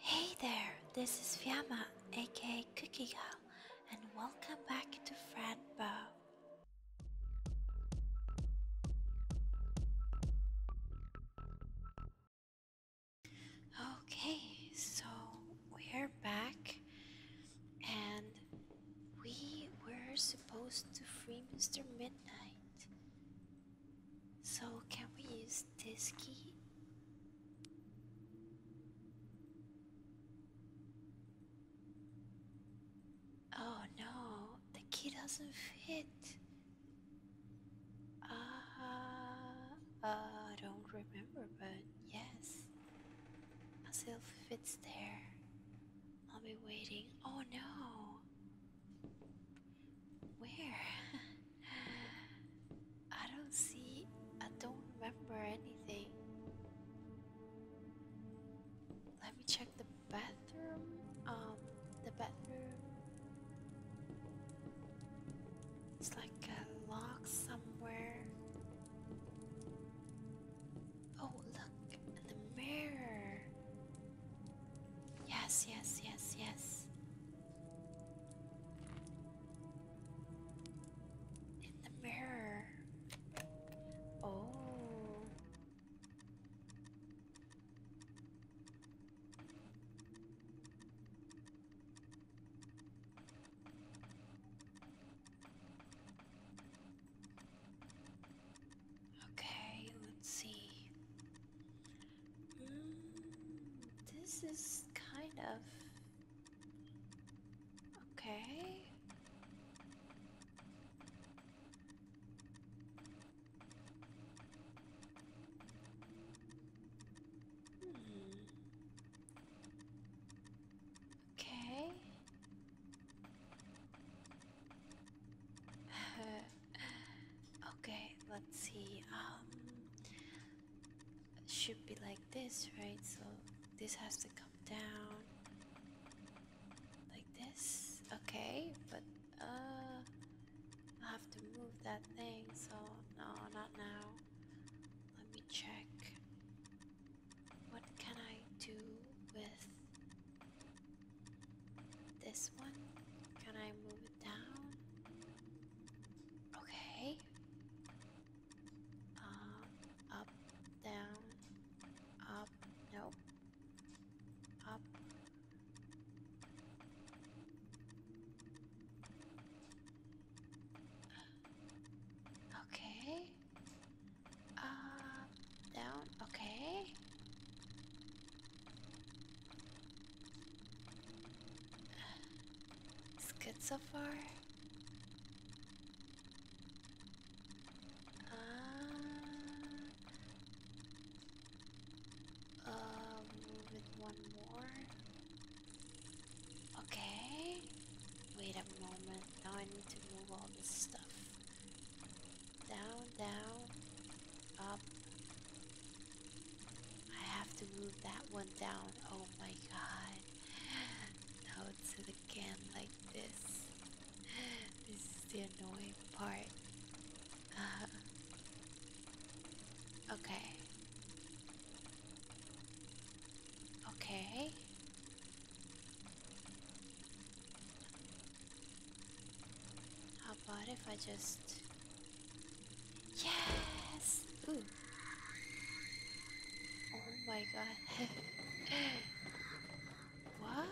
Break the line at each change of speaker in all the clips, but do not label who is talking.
Hey there, this is Fiamma, aka Cookie Girl, and welcome back to Fred Bow. Okay, so we're back, and we were supposed to free Mr. Midnight, so, can we use this key? Oh no, the key doesn't fit. Ah, uh, I don't remember, but yes, myself fits there. I'll be waiting. Oh no. Where? I don't see. I don't remember anything. Let me check the bathroom. Um, the bathroom. It's like a lock somewhere. Oh, look in the mirror. Yes, yes, yes, yes. In the mirror. Oh. Okay, let's see this is kind of okay. Hmm. Okay. Uh, okay, let's see. Um, should be like this, right? So this has to come down like this. Okay, but uh, I have to move that thing. So no, not now. Let me check. What can I do with this one? Can I move it down? Okay. Uh, up, down, up, no. Up. Okay. Up, down, okay. It's good so far. Uh, uh, move it one more. Okay. Wait a moment. Now I need to move all this stuff. Down, down, up, I have to move that one down. Oh my god. Now it's the can like this. This is the annoying part. okay. Okay. How about if I just Yes! Oh my god. what?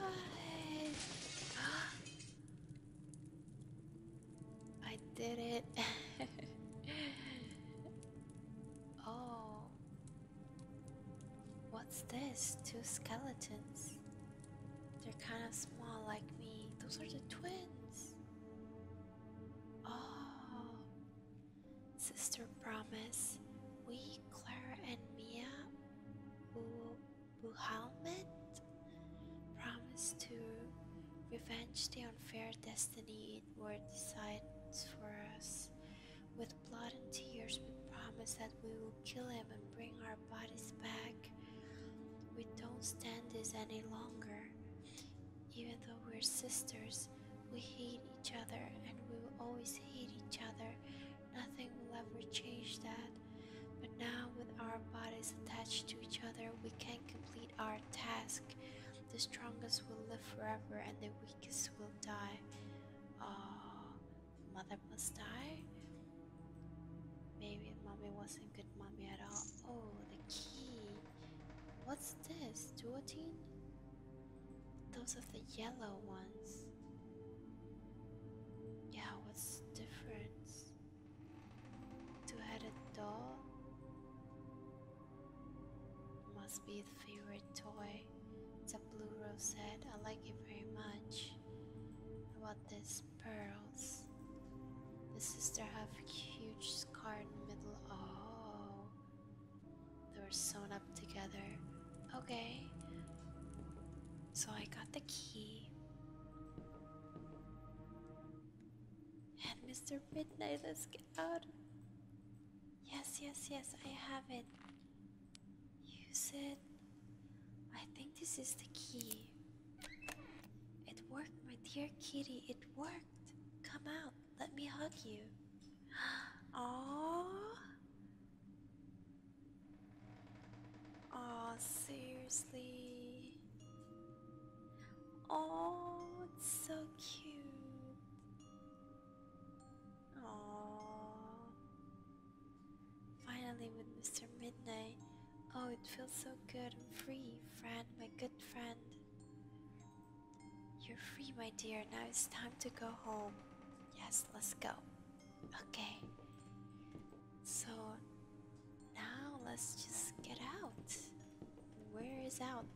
I did it. oh. What's this? Two skeletons. They're kind of small like me. Those are the twins. Oh, Sister Promise, we, Claire, and Mia, Buhalmet, promise to revenge the unfair destiny it were decides for us. With blood and tears, we promise that we will kill him and bring our bodies back we don't stand this any longer. Even though we're sisters, we hate each other and we will always hate each other. Nothing will ever change that. But now, with our bodies attached to each other, we can complete our task. The strongest will live forever and the weakest will die. Ah, mother must die? Maybe mommy wasn't good mommy at all. Oh, the key. What's this? Duotine? Those are the yellow ones. Yeah, what's different? Two-headed doll? Must be the favorite toy. It's a blue rose head. I like it very much. What this pearls. The sister have huge scar in the middle. Oh, they were sewn up together. Okay, so I got the key. And Mr. Midnight, let's get out. Yes, yes, yes, I have it. Use it. I think this is the key. It worked, my dear kitty. It worked. Come out. Let me hug you. Oh. Oh, seriously. Oh, it's so cute. Oh. Finally, with Mr. Midnight, Oh, it feels so good. I'm free, friend, my good friend. You're free, my dear. Now it's time to go home. Yes, let's go. Okay. So now let's just get out. Where is out?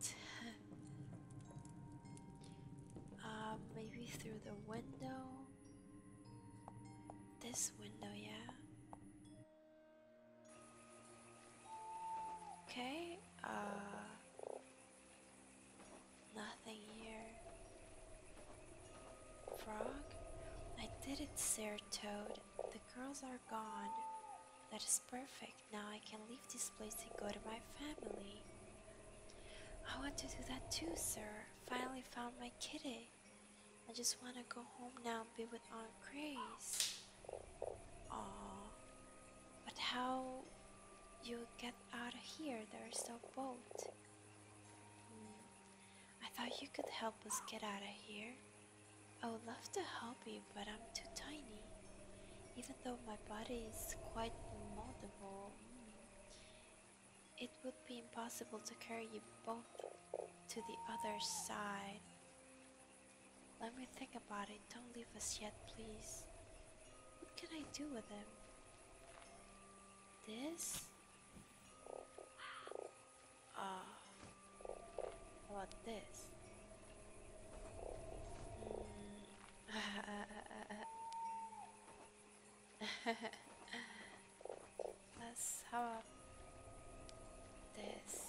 uh, maybe through the window. This window, yeah. Okay, uh. Nothing here. Frog? I did it, Sir Toad. The girls are gone. That is perfect. Now I can leave this place and go to my family. I want to do that too, sir. Finally found my kitty. I just want to go home now and be with Aunt Grace. Oh, but how you get out of here? There's no boat. Hmm. I thought you could help us get out of here. I would love to help you, but I'm too tiny. Even though my body is quite moldable, it would be impossible to carry you both to the other side. Let me think about it. Don't leave us yet, please. What can I do with them? This? Ah. about ah, this? Hmm. Let's have this.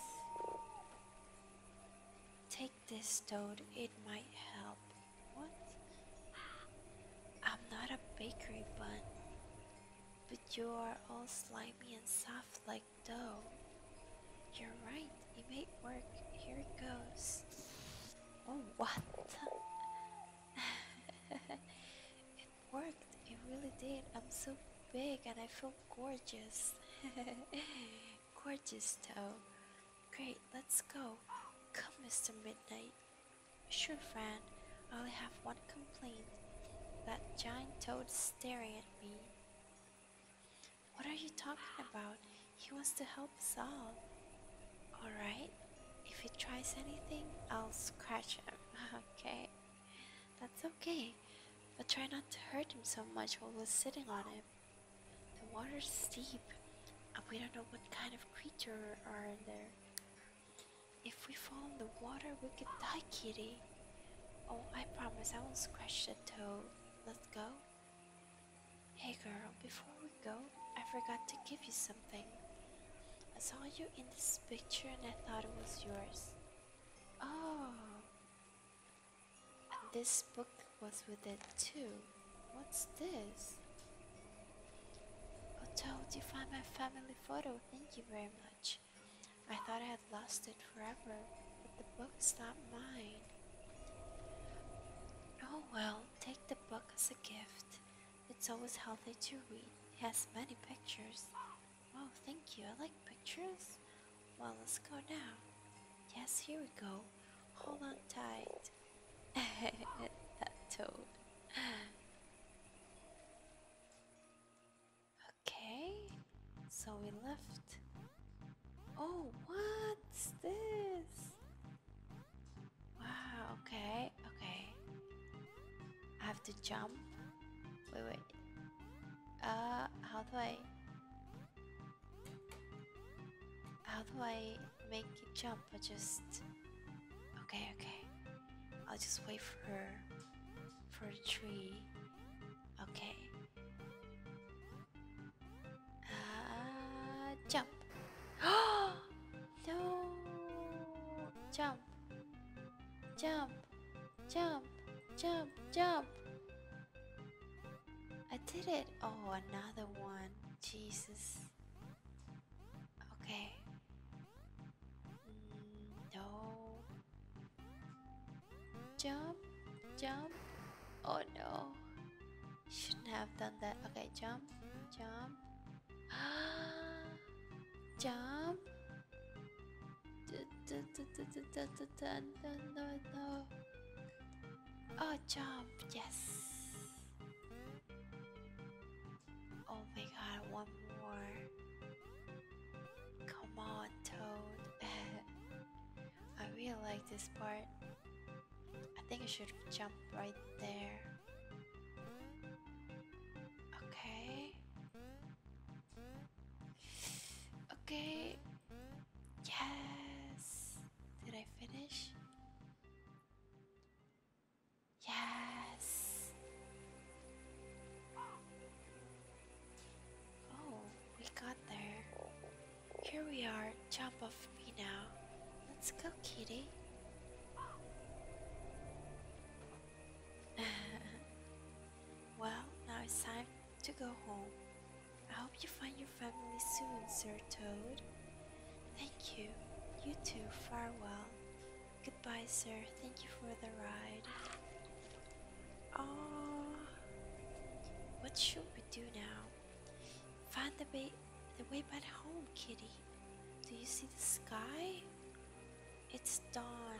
Take this toad, it might help. What? I'm not a bakery bun, but you are all slimy and soft like dough. You're right, it may work. Here it goes. Oh, what? worked. It really did. I'm so big and I feel gorgeous. gorgeous toad. Great, let's go. Come, Mr. Midnight. Sure, Fran. I only have one complaint. That giant toad staring at me. What are you talking about? He wants to help us all. Alright, if he tries anything, I'll scratch him. okay. That's okay, but try not to hurt him so much while we're sitting on him. The water's steep, and we don't know what kind of creature are there. If we fall in the water, we could die, kitty. Oh, I promise I won't scratch the toe. Let's go. Hey girl, before we go, I forgot to give you something. I saw you in this picture and I thought it was yours. Oh. This book was with it too. What's this? Oh, did you find my family photo? Thank you very much. I thought I had lost it forever, but the book is not mine. Oh well, take the book as a gift. It's always healthy to read. It has many pictures. Oh, thank you. I like pictures. Well, let's go now. Yes, here we go. Hold on tight. that toad. Okay, so we left. Oh, what's this? Wow, okay, okay. I have to jump. Wait, wait. Uh, how do I... How do I make it jump? I just... Okay, okay. I'll just wait for her. For the tree. Okay. Uh, jump. no! Jump. Jump. Jump, jump, jump. I did it. Oh, another one. Jesus. Okay. Mm, no. Jump, jump. Oh no. Shouldn't have done that. Okay, jump, jump. jump. Oh, jump, yes. Oh my god, one more. Come on, Toad. I really like this part. I think I should jump right there. Okay. Okay. Yes. Did I finish? Yes. Oh, we got there. Here we are. Jump off me now. Let's go, kitty. well, now it's time to go home. I hope you find your family soon, Sir Toad. Thank you. You too, farewell. Goodbye, sir. Thank you for the ride. Oh, what should we do now? Find the, the way back home, kitty. Do you see the sky? It's dawn,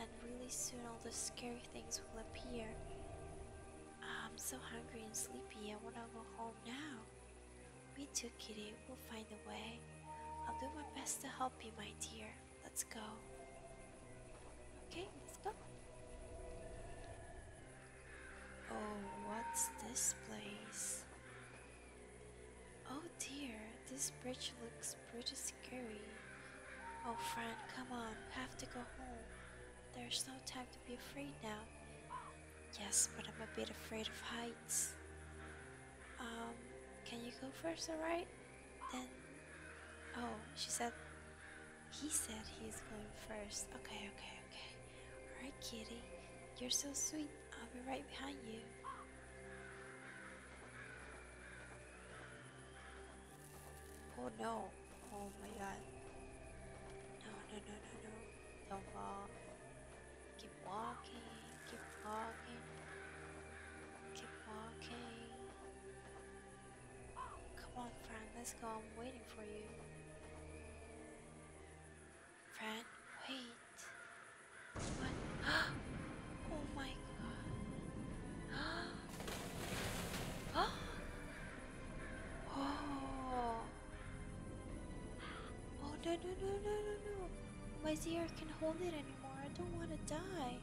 and really soon all the scary things will appear. I'm so hungry and sleepy, I wanna go home now. Me too, kitty, we'll find a way. I'll do my best to help you, my dear. Let's go. Okay, let's go. Oh, what's this place? Oh dear, this bridge looks pretty scary. Oh, Fran, come on, we have to go home. There's no time to be afraid now. Yes, but I'm a bit afraid of heights. Um, can you go first, alright? Then. Oh, she said. He said he's going first. Okay, okay, okay. Alright, kitty. You're so sweet fine. I'll be right behind you. Oh no. Oh my god. No, no, no, no, no. Don't fall. Keep walking. Keep walking. Keep walking. Come on, friend. Let's go. I'm waiting for you. Friend, wait. What? Oh my god. Oh. Oh. Oh no no no no no no. My Zr can not hold it anymore. I don't want to die.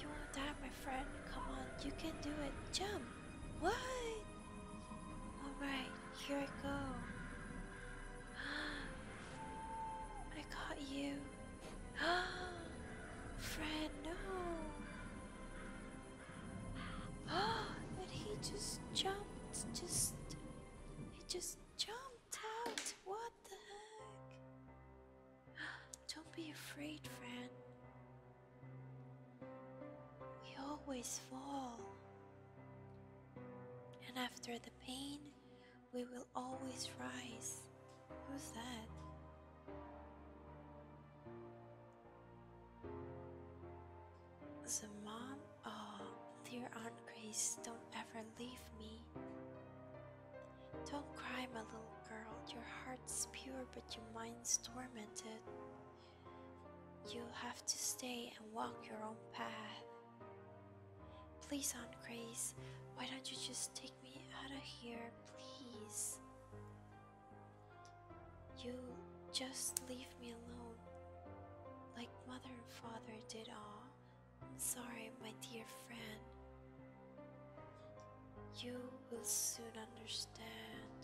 You want to die, my friend? Come on, you can do it. Jump. What? Alright, here I go. I caught you. friend. no. But he just jumped. Just. He just jumped out. What the heck? Don't be afraid, friend. We always fall. And after the pain, we will always rise. Who's that? The mom? Oh, dear Aunt Grace, don't ever leave me. Don't cry, my little girl. Your heart's pure, but your mind's tormented. You'll have to stay and walk your own path. Please, Aunt Grace, why don't you just take me out of here, please? You just leave me alone, like mother and father did all. I'm sorry, my dear friend. You will soon understand.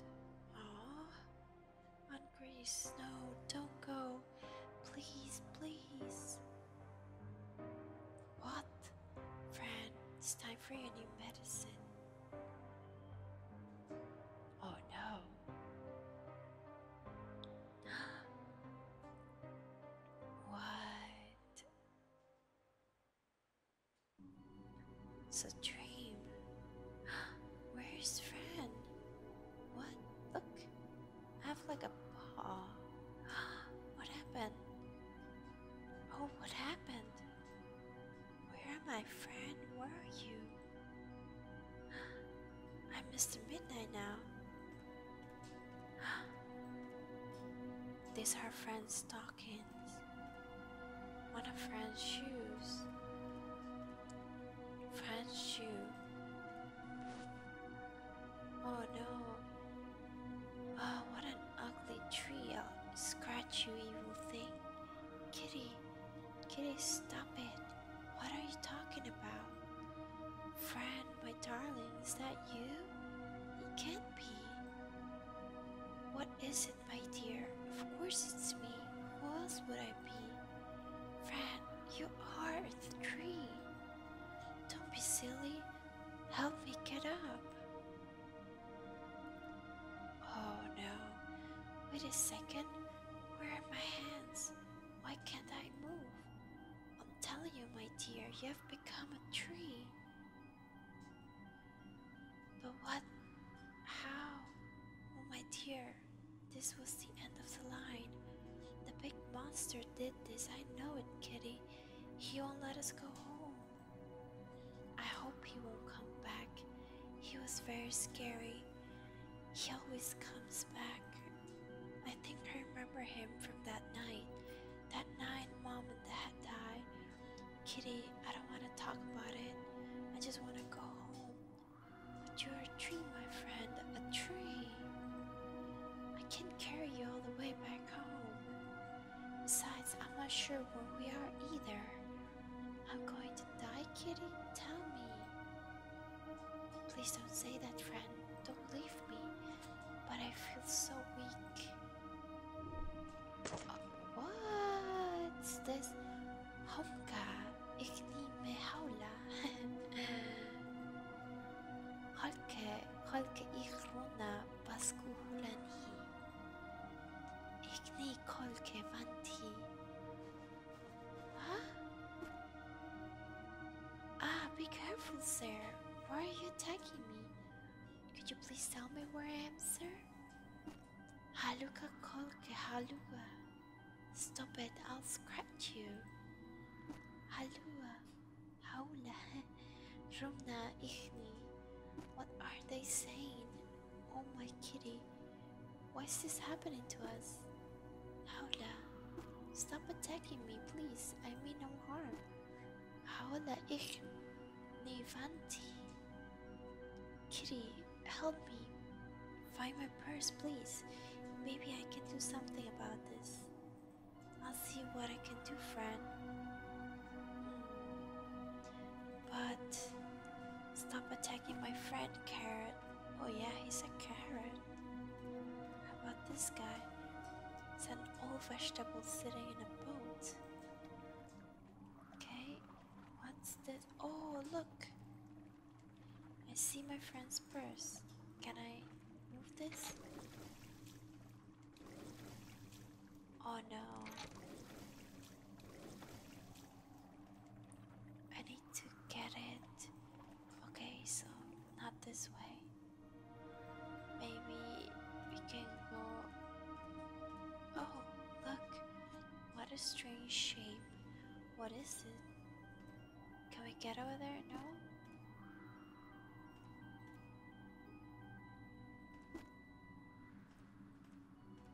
Ah, on, No, don't go. Please, please. What? Fran, it's time for your new medicine. Oh no. what? It's a dream. Where's Fran? What? Look, I have like a paw. what happened? Oh, what happened? Where are my friend? Where are you? i missed Mr. Midnight now. These are friend's stockings. One of friend's shoes. Friend's shoe. Oh no. Oh, what an ugly tree. I'll scratch you, evil thing. Kitty, Kitty, stop it. What are you talking about? friend, my darling, is that you? It can't be. What is it, my dear? Of course it's me. Who else would I be? Fran, you are the tree. Don't be silly. Help me get up. Oh no. Wait a second. Where are my hands? Why can't I move? I'm telling you, my dear, you have become a tree. But what? How? Oh, my dear, this was the end of the line. The big monster did this, I know it, Kitty. He won't let us go home. I hope he won't come back. He was very scary. He always comes back. I think I remember him from that night. That night mom and dad died. Kitty, I don't want to talk about it. I just want to go home. But you're a tree, my friend, a tree. I can not carry you all the way back home. Besides, I'm not sure where we are either. I'm going to die, kitty. Tell me. Please don't say that, friend. Don't leave me. But I feel so weak. Uh, what's this? Homka. اكني ما حوله Ah, be careful, sir. Why are you attacking me? Could you please tell me where I am, sir? Haluka kolke haluka. Stop it, I'll scratch you. Halua, Haula, Rumna, Ichni. What are they saying? Oh my kitty, why is this happening to us? Haula, stop attacking me, please. I mean no harm. Haula, Ichni, Vanti. Kitty, help me. Find my purse, please. Maybe I can do something about this. I'll see what I can do, friend. Hmm. But stop attacking my friend, Carrot. Oh, yeah, he's a carrot. How about this guy? It's an old vegetable sitting in a boat. Okay, what's this? Oh, look! I see my friend's purse. Can I move this? Oh no. I need to get it. Okay, so not this way. Maybe we can go. Oh, look. What a strange shape. What is it? Can we get over there? No?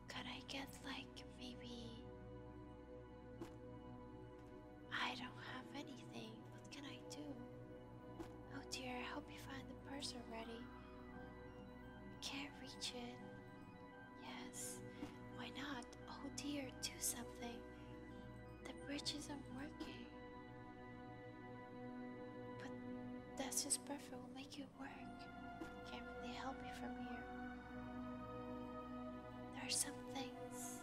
Could I get like maybe I don't have anything. What can I do? Oh dear, I hope you find the purse already. Can't reach it. Yes. Why not? oh dear, do something. The bridge isn't working. But that's just perfect, we'll make it work. Can't really help you from here. There are some things.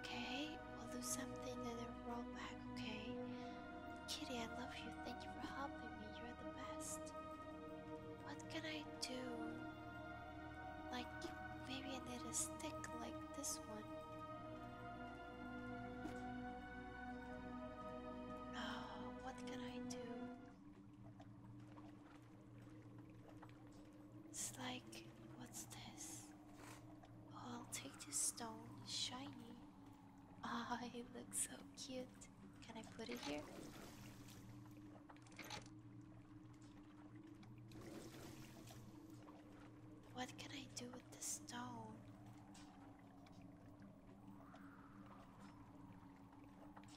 Okay, we'll do something and then roll back, okay? Kitty, I love you. Thank you for helping me. You're the best. What can I do? Like, maybe I need a stick like this one. Oh, what can I do? It's like, what's this? Oh, I'll take this stone, it's shiny. Ah, oh, it looks so cute. Can I put it here? What can I do with the stone?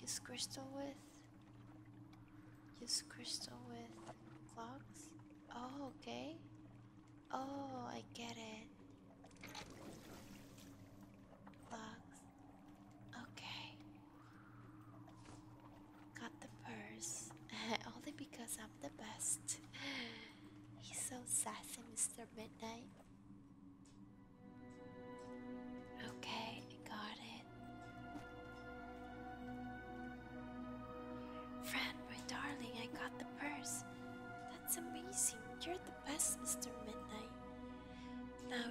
Use crystal with? Use crystal with clocks? Oh, okay. Oh, I get it. Clocks. Okay. Got the purse. Only because I'm the best. He's so sassy, Mr. Midnight. Okay, I got it. Friend, my darling, I got the purse. That's amazing. You're the best, Mr. Midnight. Now,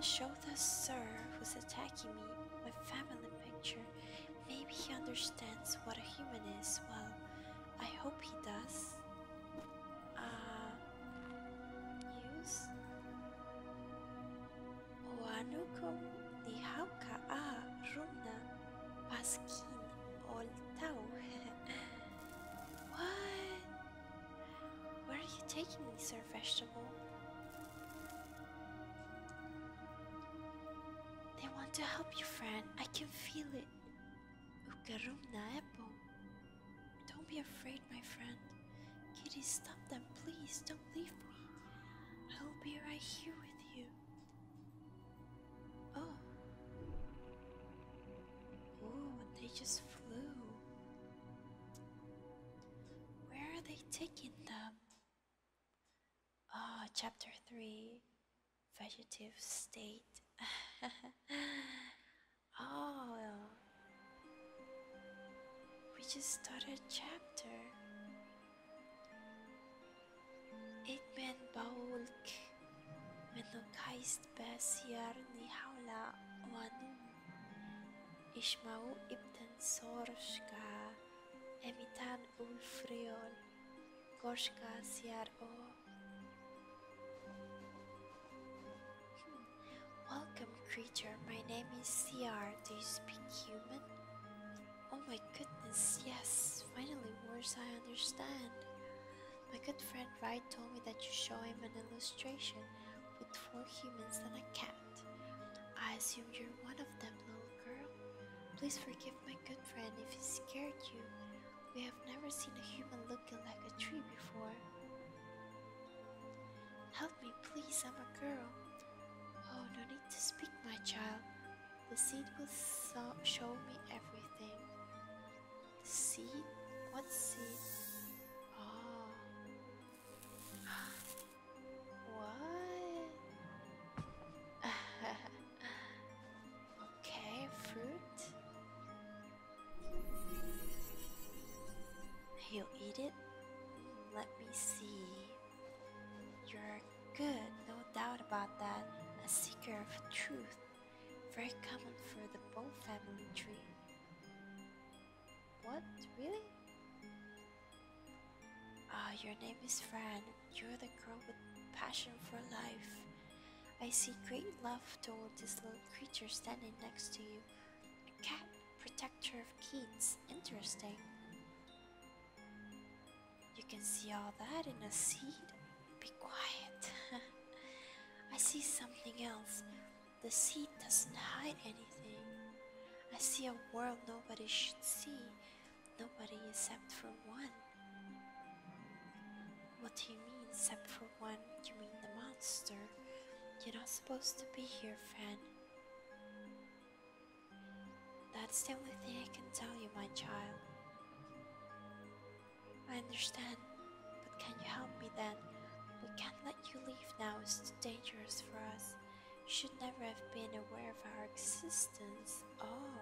show the sir who's attacking me my family picture. Maybe he understands what a human is. Well, I hope he does. Uh, use Oanukum Nihauka A Runa Paskin Oltau. What? Where are you taking me, sir vegetable? They want to help you, friend. I can feel it. na apple. Don't be afraid, my friend. Kitty, stop them, please. Don't leave me. I will be right here with you. Oh. Oh, they just flew. Where are they taking them? Ah, chapter 3 Vegetative State. oh, we just started chapter. It Eggman Baulk Menokais Basiar Nihaula Wanum اسمعوا ابتن سورشكا امیتن اولفریول گوشکا سیر او Welcome creature, my name is CR. Do you speak human? Oh my goodness, yes, finally words I understand. My good friend Wright told me that you show him an illustration with four humans and a cat. I assume you're one of them, little girl. Please forgive my good friend if he scared you. We have never seen a human looking like a tree before. Help me, please, I'm a girl. Oh, no need to speak, my child. The seed will show me everything. The seed? What seed? Oh, what? okay, fruit. He'll eat it. Let me see. You're good, no doubt about that. A seeker of truth. Very common for the Bow family tree. What? Really? Ah, your name is Fran. You're the girl with passion for life. I see great love toward this little creature standing next to you. A cat protector of kids. Interesting. You can see all that in a seed. Be quiet. I see something else. The seed doesn't hide anything. I see a world nobody should see, nobody except for one. What do you mean, except for one? You mean the monster? You're not supposed to be here, Fan. That's the only thing I can tell you, my child. I understand, but can you help me then? We can't let you leave now is too dangerous for us. You should never have been aware of our existence. Oh,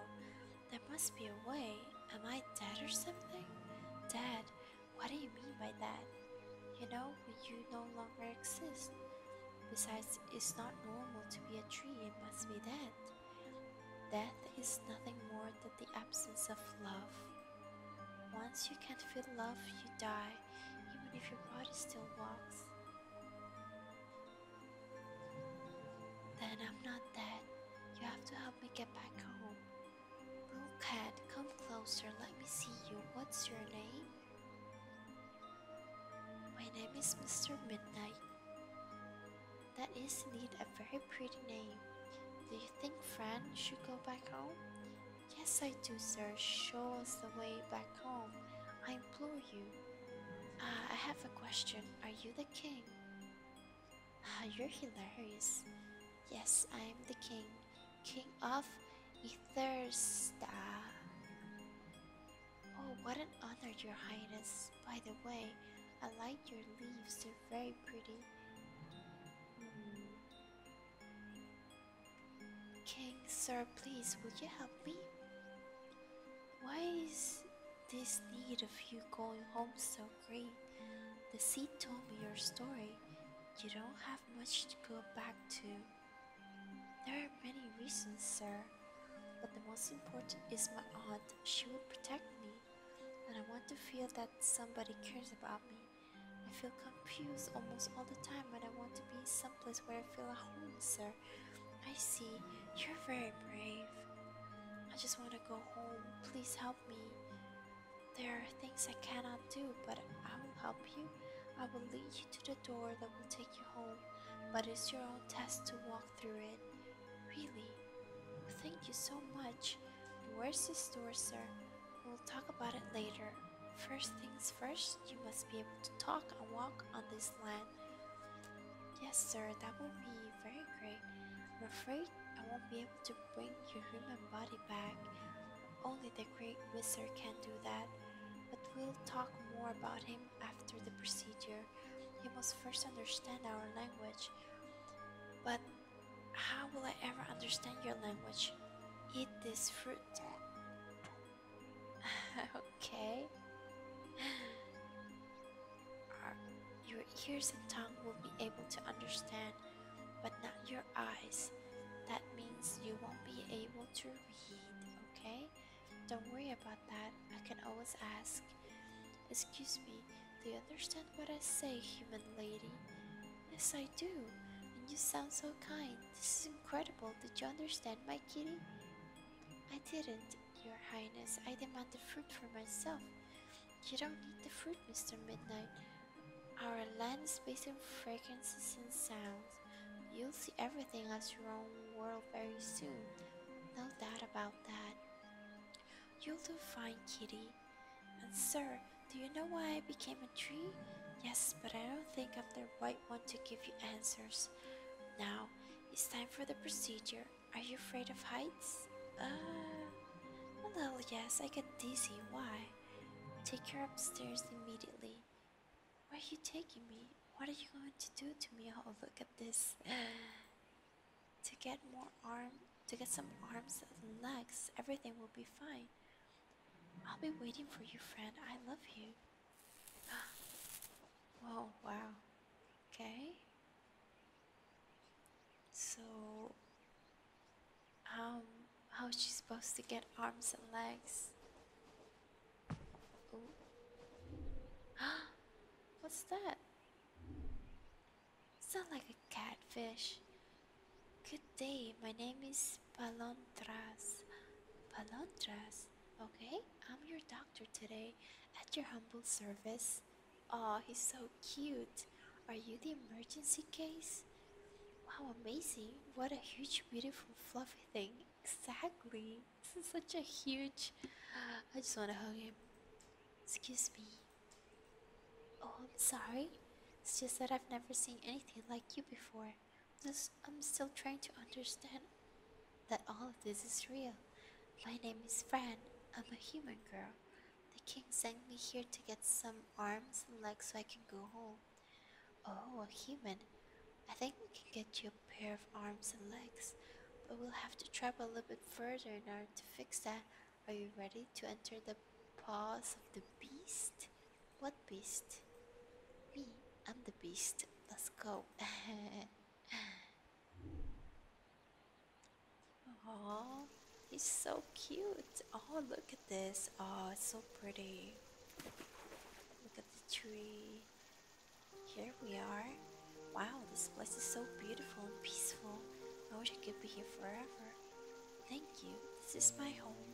there must be a way. Am I dead or something? Dead? What do you mean by that? You know, you no longer exist. Besides, it's not normal to be a tree, it must be dead. Death is nothing more than the absence of love. Once you can't feel love, you die even if your body still walks. Then I'm not dead. You have to help me get back home. Little cat, come closer. Let me see you. What's your name? My name is Mr. Midnight. That is indeed a very pretty name. Do you think Fran should go back home? Yes, I do, sir. Show us the way back home. I implore you. Ah, I have a question. Are you the king? Ah, you're hilarious. Yes, I am the king. King of Ethersta. Oh, what an honor, Your Highness. By the way, I like your leaves. They're very pretty. Hmm. King, sir, please, will you help me? Why is this need of you going home so great? The sea told me your story. You don't have much to go back to. There are many reasons, sir, but the most important is my aunt. She will protect me, and I want to feel that somebody cares about me. I feel confused almost all the time but I want to be in someplace where I feel at home, sir. I see. You're very brave. I just want to go home. Please help me. There are things I cannot do, but I will help you. I will lead you to the door that will take you home, but it's your own task to walk through it. Really? Thank you so much. Where's the store, sir? We'll talk about it later. First things first, you must be able to talk and walk on this land. Yes, sir, that would be very great. I'm afraid I won't be able to bring your human body back. Only the great wizard can do that. But we'll talk more about him after the procedure. He must first understand our language. But how will I ever understand your language? Eat this fruit. okay. your ears and tongue will be able to understand, but not your eyes. That means you won't be able to read, okay? Don't worry about that. I can always ask. Excuse me, do you understand what I say, human lady? Yes, I do. And you sound so kind. This is incredible. Did you understand my kitty? I didn't, Your Highness. I demand the fruit for myself. You don't need the fruit, Mr. Midnight. Our land is based on fragrances and sounds. You'll see everything as your own world very soon. No doubt about that. You'll do fine, kitty. And sir, do you know why I became a tree? Yes, but I don't think I'm the right one to give you answers. Now, it's time for the procedure. Are you afraid of heights? Uh, well, yes, I get dizzy. Why? Take her upstairs immediately. Where are you taking me? What are you going to do to me? Oh, look at this. to get more arms, to get some arms and legs, everything will be fine. I'll be waiting for you, friend. I love you. Whoa, wow. Okay. So, um, how's she supposed to get arms and legs? Ooh. What's that? Sound like a catfish. Good day, my name is Palontras. Palontras. okay? I'm your doctor today at your humble service. oh, he's so cute. Are you the emergency case? Wow, amazing. What a huge, beautiful, fluffy thing. Exactly. This is such a huge. I just want to hug him. Excuse me. Oh, I'm sorry. It's just that I've never seen anything like you before. Just, I'm still trying to understand that all of this is real. My name is Fran. I'm a human girl. The king sent me here to get some arms and legs so I can go home. Oh, a human. I think we can get you a pair of arms and legs, but we'll have to travel a little bit further in order to fix that. Are you ready to enter the paws of the beast? What beast? Me, I'm the beast. Let's go. oh, he's so cute. Oh, look at this. Oh, it's so pretty. Look at the tree. Here we are. Wow, this place is so beautiful and peaceful. I wish I could be here forever. Thank you. This is my home.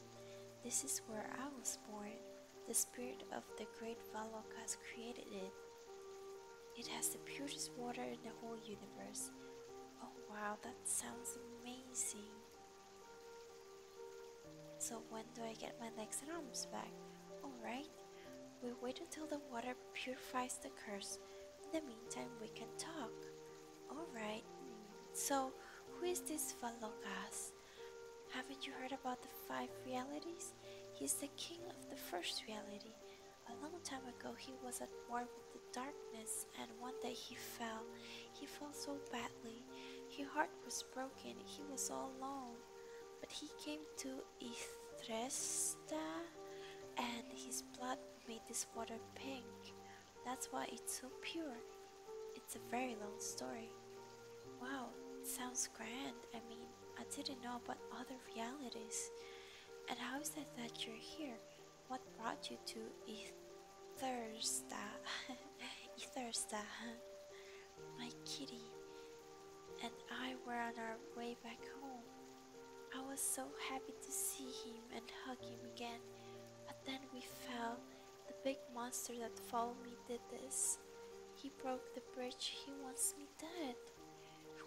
This is where I was born. The spirit of the great Valokas created it. It has the purest water in the whole universe. Oh wow, that sounds amazing. So when do I get my legs and arms back? Alright, we wait until the water purifies the curse. In the meantime, we can talk. Alright, so who is this Valokas? Haven't you heard about the five realities? He's the king of the first reality. A long time ago, he was at war with the darkness, and one day he fell. He fell so badly. His heart was broken. He was all alone. But he came to Ithresta, and his blood made this water pink. That's why it's so pure. It's a very long story. Wow, sounds grand. I mean, I didn't know about other realities. And how is it that you're here? What brought you to Ethersta? Ethersta, my kitty and I were on our way back home. I was so happy to see him and hug him again but then we fell. The big monster that followed me did this. He broke the bridge. He wants me dead.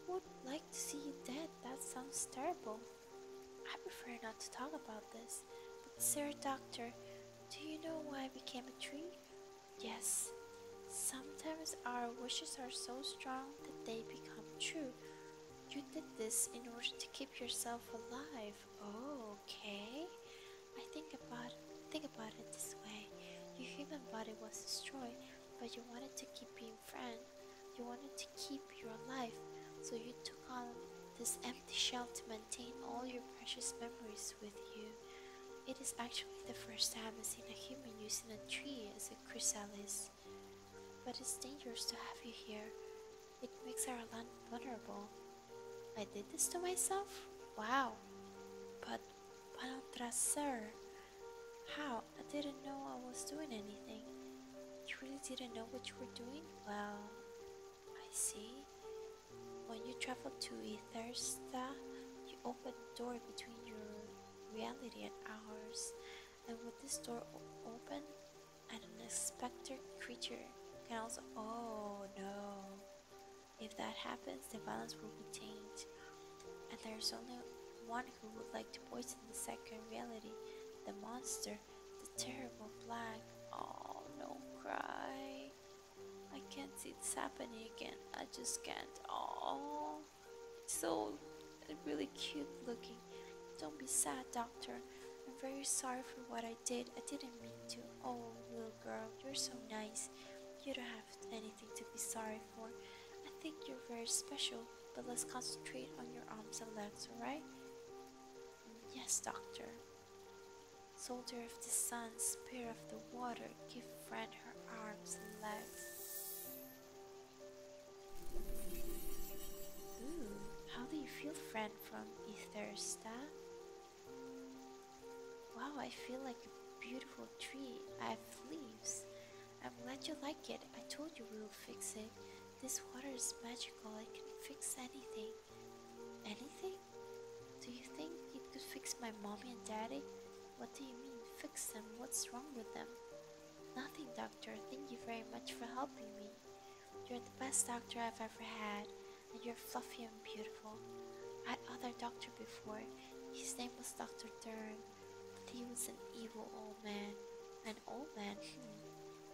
Who would like to see you dead? That sounds terrible. I prefer not to talk about this. But, sir, doctor, do you know why I became a tree? Yes. Sometimes our wishes are so strong that they become true. You did this in order to keep yourself alive. okay. I think about think about it this way. Your human body was destroyed, but you wanted to keep being friend. You wanted to keep your life, so you took on this empty shell to maintain all your precious memories with you. It is actually the first time I've seen a human using a tree as a chrysalis. But it's dangerous to have you here. It makes her vulnerable. I did this to myself? Wow. But sir? how? I didn't know I was doing anything. You really didn't know what you were doing? Well, I see. When you travel to Ethersta, you open a door between your reality and ours. And with this door open, an unexpected creature can also. Oh no! If that happens, the balance will be tainted, and there's only one who would like to poison the second reality the monster, the terrible black. Oh no, cry! I can't see this happening again. I just can't. Oh, it's so really cute looking. Don't be sad, doctor. I'm very sorry for what I did. I didn't mean to. Oh, little girl, you're so nice. You don't have anything to be sorry for. I think you're very special, but let's concentrate on your arms and legs, alright? Yes, doctor. Soldier of the sun, spirit of the water, give friend her arms and legs how do you feel, friend from Ethersta? Wow, I feel like a beautiful tree. I have leaves. I'm glad you like it. I told you we will fix it. This water is magical. It can fix anything. Anything? Do you think it could fix my mommy and daddy? What do you mean, fix them? What's wrong with them? Nothing, doctor. Thank you very much for helping me. You're the best doctor I've ever had, and you're fluffy and beautiful. I had other doctor before. His name was Dr. Durn, but he was an evil old man. An old man, hmm.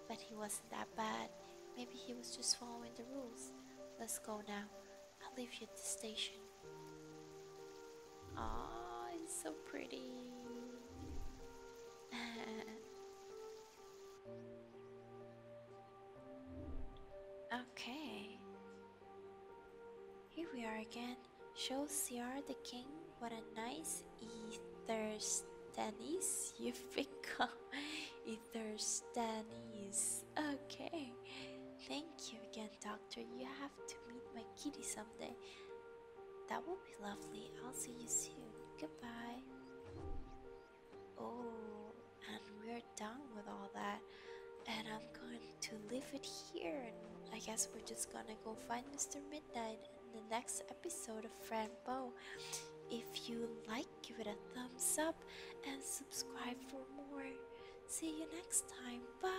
But he wasn't that bad. Maybe he was just following the rules. Let's go now. I'll leave you at the station. Aww, it's so pretty. Okay. Here we are again. Show Siar the king what a nice Etherstanis you've become. Etherstanis. Okay. Thank you again, Doctor. You have to meet my kitty someday. That will be lovely. I'll see you soon. Goodbye. Oh, and we're done with all that. And I'm going to leave it here. I guess we're just gonna go find Mr. Midnight in the next episode of Fran Bo. If you like, give it a thumbs up and subscribe for more. See you next time. Bye.